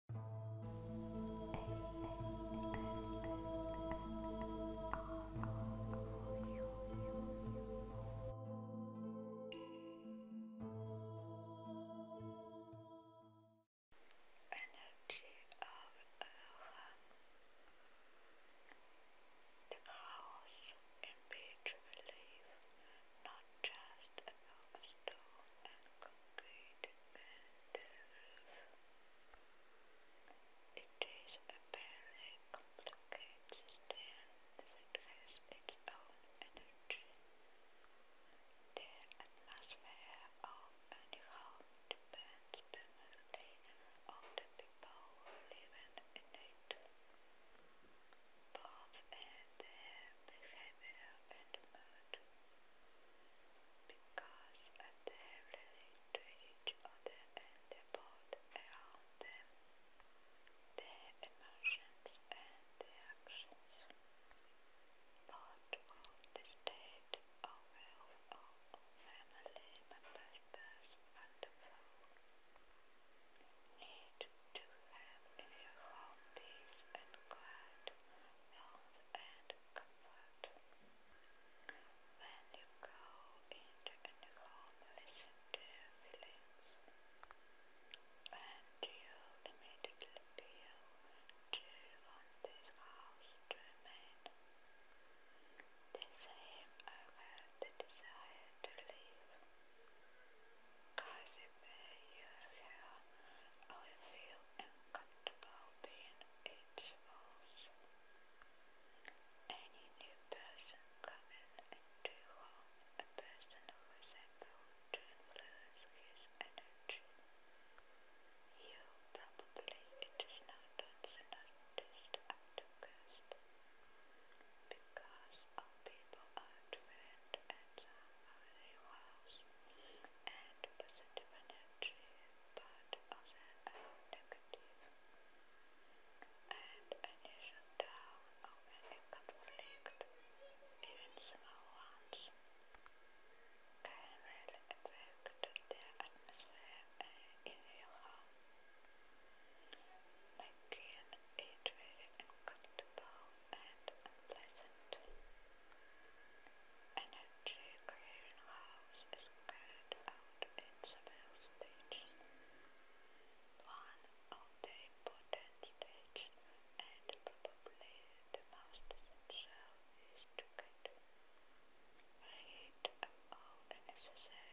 Energy of Aloha The house in which not just a box stone and It is a very complicated system that its own energy. The atmosphere of any home depends primarily on the people who live in it palms and the hammer and mud, because they relate to each other and the board around them, their emotions and their actions. Part of the state of health of family members' personal flow need to have in your home peace and quiet, health and comfort. When you go into a new home, listen to feelings and you immediately feel you want this house to remain? The same I had desire to leave. Kazi may use feel uncomfortable being its walls. Any new person coming into home, a person who is able to influence his energy. You probably it is not unnoticed at the focused because all people are different and some and positive but others and initial down of even small ones, can really affect their atmosphere in your heart. Again, it's very uncomfortable and unpleasant. Energy clearinghouse is carried out in several stages. One of the important stages, and probably the most essential, is to get rid of necessary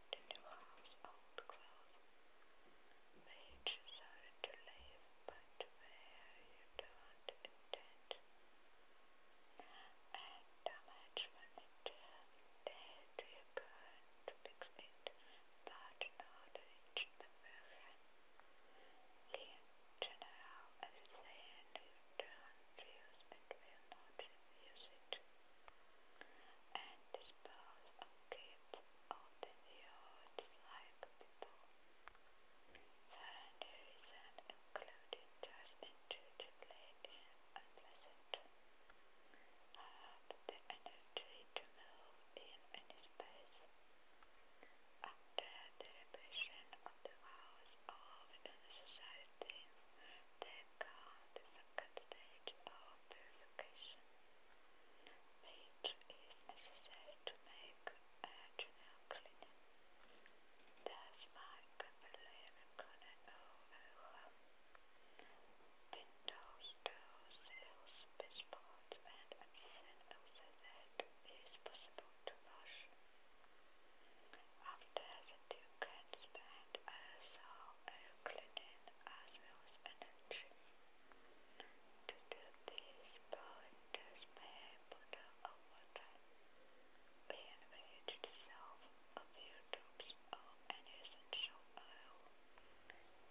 out into harm's old clothes. Made you sorry to leave, but where you don't intend. And damage manager, there do you go to fix it, but not reach the version. In general, everything you don't use it will not use it and dispose of kids out the yards like people. Voluntary isn't included just intuitively in unpleasant. I have the energy to move in any space. After the revision of the house, of the society, they count the cut stage of purification, which is necessary to make a general cleaning. Thus my capillary corner overwhelm. Windows, doors, sills, baseboards and anything else that is possible to wash. After the two cats spent I saw Euclidin as Will's energy. To do this, pointers may put up over time, being ready to dissolve a few drops of essential oil.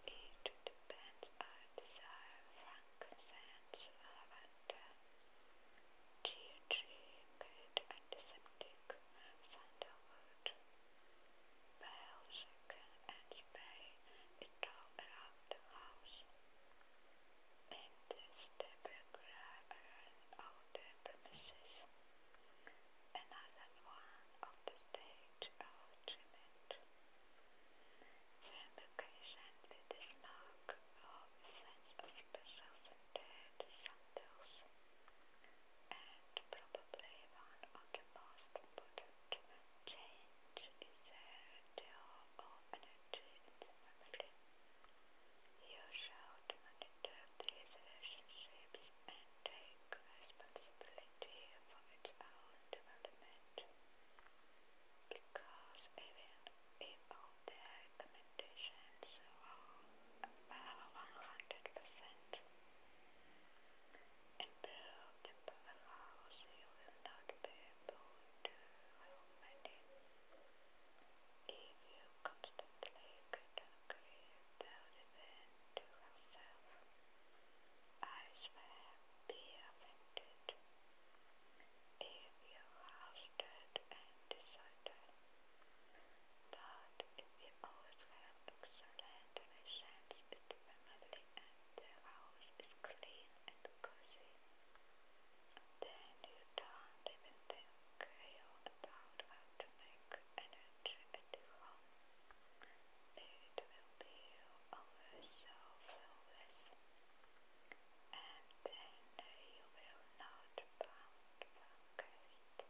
It depends on desire, frankincense, whatever and uh, dietary antiseptic sandalwood, bell, and spray it all around the house. And this debris around all the premises. Another one of the stage of treatment. Revocation to this mark of of special center and probably one of the most important change is their deal of energy You should monitor these relationships and take responsibility for its development because even if all the recommendations were about 100% improve the powerhouse, you will not be able if you constantly critically tell the event yourself. I swear be offended. If you fasted and decided that if you always have excellent relations with the family and the house is clean and cozy, then you don't even think about how to make energy at it will be also flawless, and then you will not bound focused.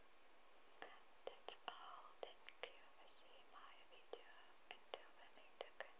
That's all, thank you for seeing my video, until the next again.